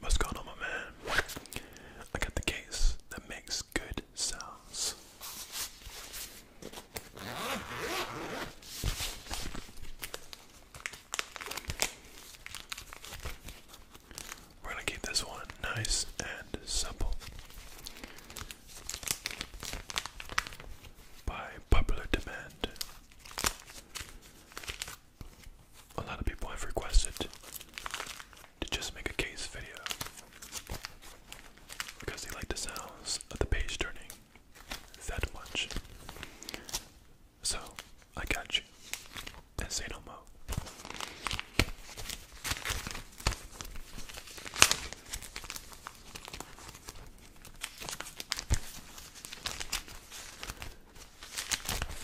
What's going on, my man? I got the case that makes good sounds. We're gonna keep this one nice and simple. By popular demand, a lot of people have requested to just make a case video because they like the sounds of the page turning that much. So I got you. And say no more.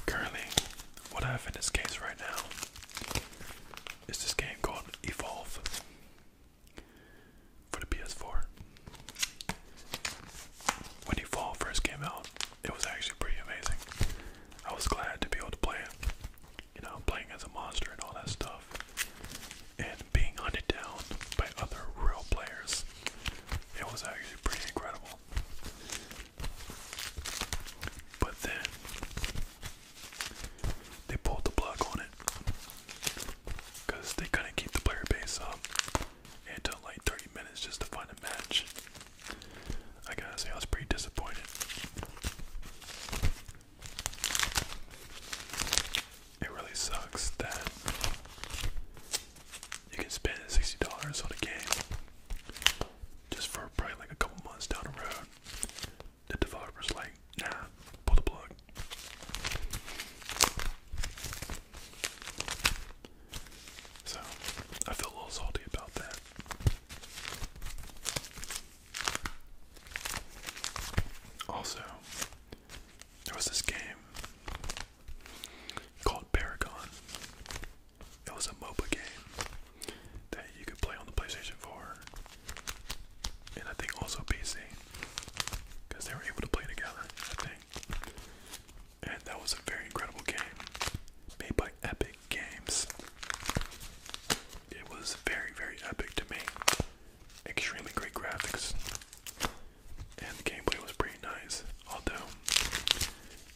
Currently, what I have in this case right now is this game called Evolve for the PS4. When Evolve first came out, it was actually pretty amazing. I was glad to be able to play it. You know, playing as a monster and all that stuff being hunted down by other real players. It was actually pretty incredible. But then they pulled the plug on it because they couldn't keep the player base up. It took like 30 minutes just to find a match. I gotta say, I was pretty disappointed it really sucks that you can spend sixty dollars on a game just for probably like a couple months down the road. The developer's like, nah, pull the plug. So I feel a little salty about that. Also, there was this game called Paragon. It was a MOBA game that you could play on the PlayStation 4 and I think also PC because they were able to play together, I think. And that was a very incredible game made by Epic Games. It was very, very epic to me. Extremely great graphics and the gameplay was pretty nice. Although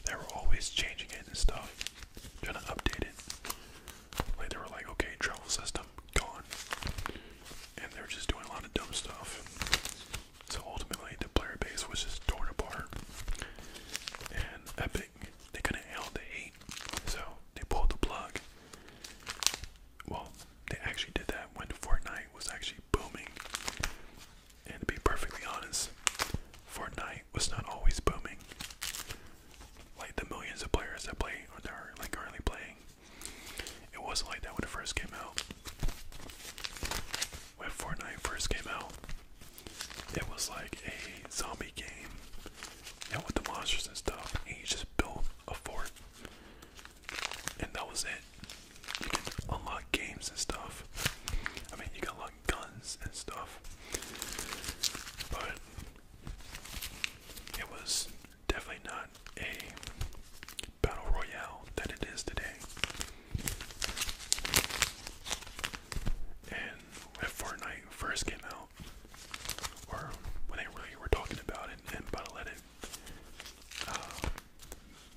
they were always changing it and stuff, trying to update it. Like they were like, okay, travel system gone, and they were just doing a lot of dumb stuff. So ultimately, the player base was just torn apart, and Epic they couldn't handle the hate, so they pulled the plug well, they actually did that when Fortnite was actually booming. And to be perfectly honest, Fortnite was not always booming. Like the millions of players that play on are like currently playing. It wasn't like that when it first came out. When Fortnite first came out, it was like a zombie game. Yeah, with the monsters and stuff, and you just built a fort and that was it. You can unlock games and stuff. I mean, you can unlock guns and stuff. But it was definitely not a battle royale that it is today. And when Fortnite first came out, or when they really were talking about it, and Battle.net uh,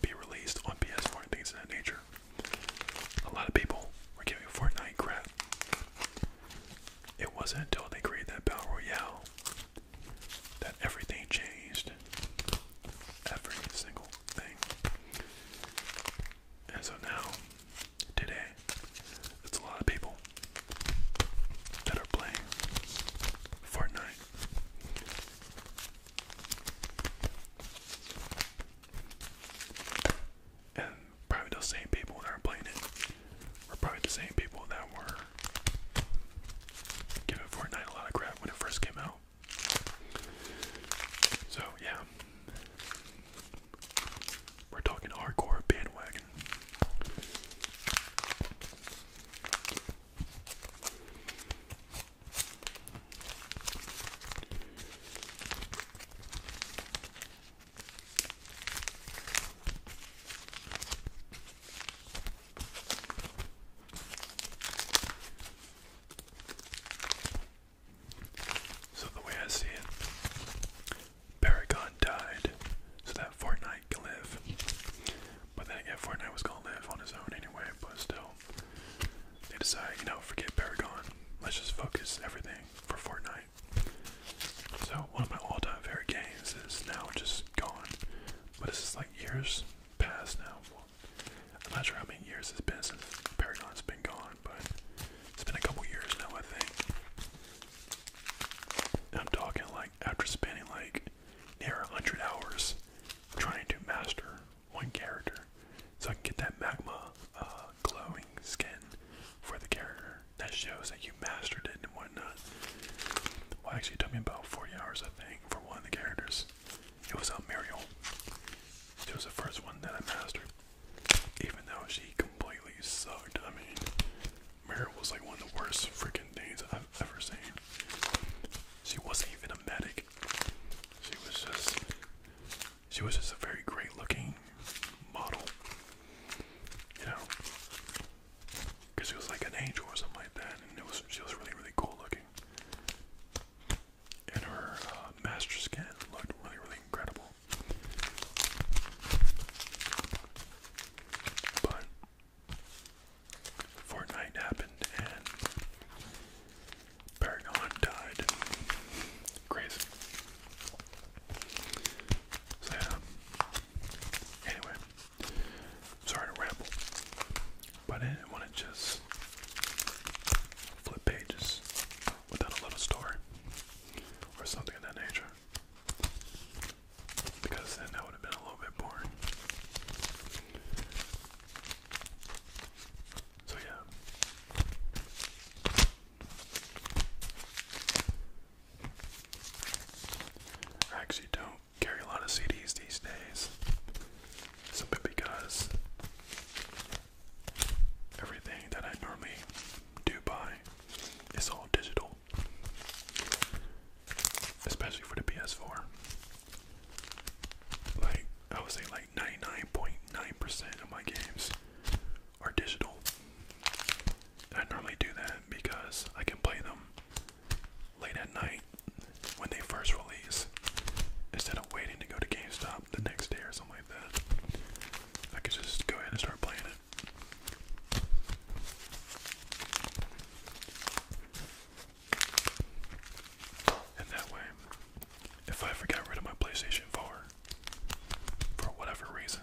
be released on PS4 and things of that nature. A lot of people were giving Fortnite crap. It wasn't until they created that Battle Royale that everything changed. Every single thing. And so now, today, it's a lot of people that are playing Fortnite. And probably those same people that are playing it were probably the same people that were giving Fortnite a lot of crap when it first came out. So, yeah. We're talking hardcore bandwagon. So the way I see it, Paragon died so that Fortnite can live. But then again, Fortnite was gonna live on his own anyway, but still. They decide, you know, forget Paragon. Let's just focus everything for Fortnite. So, one of my all time favorite games is now just gone. But it's just like years past now. I'm not sure how many years it's been since Paragon's been gone, but it's been a couple years now, I think. I'm talking like after spending like near a hundred hours trying to master one character, so I can get that magma uh, glowing skin for the character that shows that you mastered it and whatnot. Well, actually, it took me about 40 hours, I think, for one of the characters. It was on uh, Muriel. It was the first one that I mastered, even though she completely sucked. I mean, Mara was like one of the worst freaking things I've ever seen. She wasn't even a medic. She was just she was just a very great looking model. You know? Cause she was like an angel or something like that, and it was she was really, really cool looking. And her uh, master skin looked really, really incredible. But Fortnite happened and Paragon died. Crazy. So Anyway, sorry to ramble, but I didn't want to just flip pages without a little story or something of that nature. Because then that would have been a little bit boring. So, yeah. I actually don't carry a lot of CDs these days. Simply because everything that I normally do buy is all digital. Especially for the PS4. Like, I would say like 99.9% percent of my games are digital. I normally do that because I can play them late at night when they first release instead of waiting to go to GameStop the next day or something like that. I can just go ahead and start playing it. And that way, if I ever rid of my PlayStation 4, for whatever reason,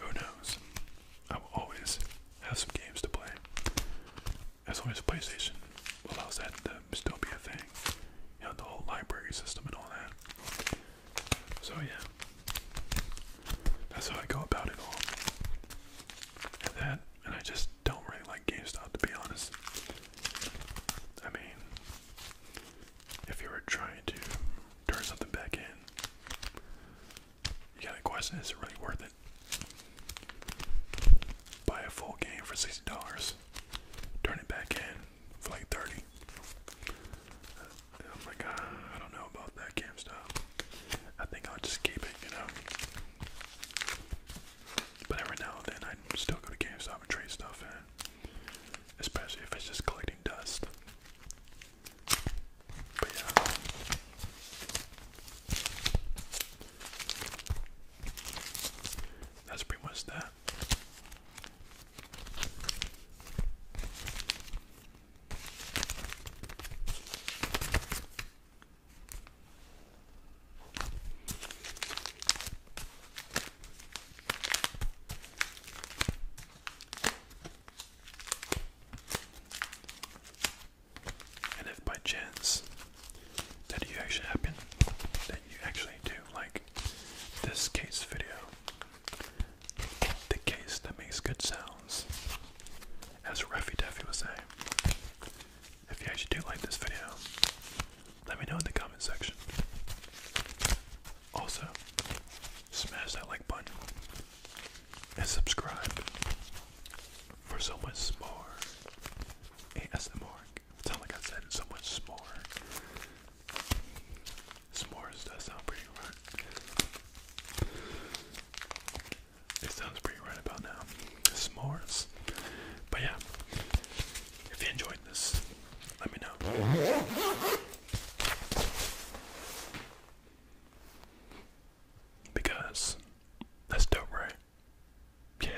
who knows? I will always have some games to play. As long as PlayStation allows that to still be a thing. You know, the whole library system and all that. So yeah, that's how I go about it all. And that, and I just don't really like GameStop to be honest. I mean, if you were trying to turn something back in, you got a question is it really worth it? Buy a full game for $60, turn it back in, for like 30. I'm like, ah, I don't know about that GameStop. I think I'll just keep it, you know. But every now and then I still go to GameStop and trade stuff in. Especially if it's just collecting dust. But yeah. That's pretty much that. And if by chance that you actually happen, that you actually do like this case video. The case that makes good sounds. As Ruffy Duffy would say. If you actually do like this video, let me know in the comment section. Also, smash that like button and subscribe for so much more ASMR it's not like I said so much s'more. S'mores does sound pretty right. It sounds pretty right about now. S'mores. But yeah, if you enjoyed this, let me know. Because that's dope, right? Yeah.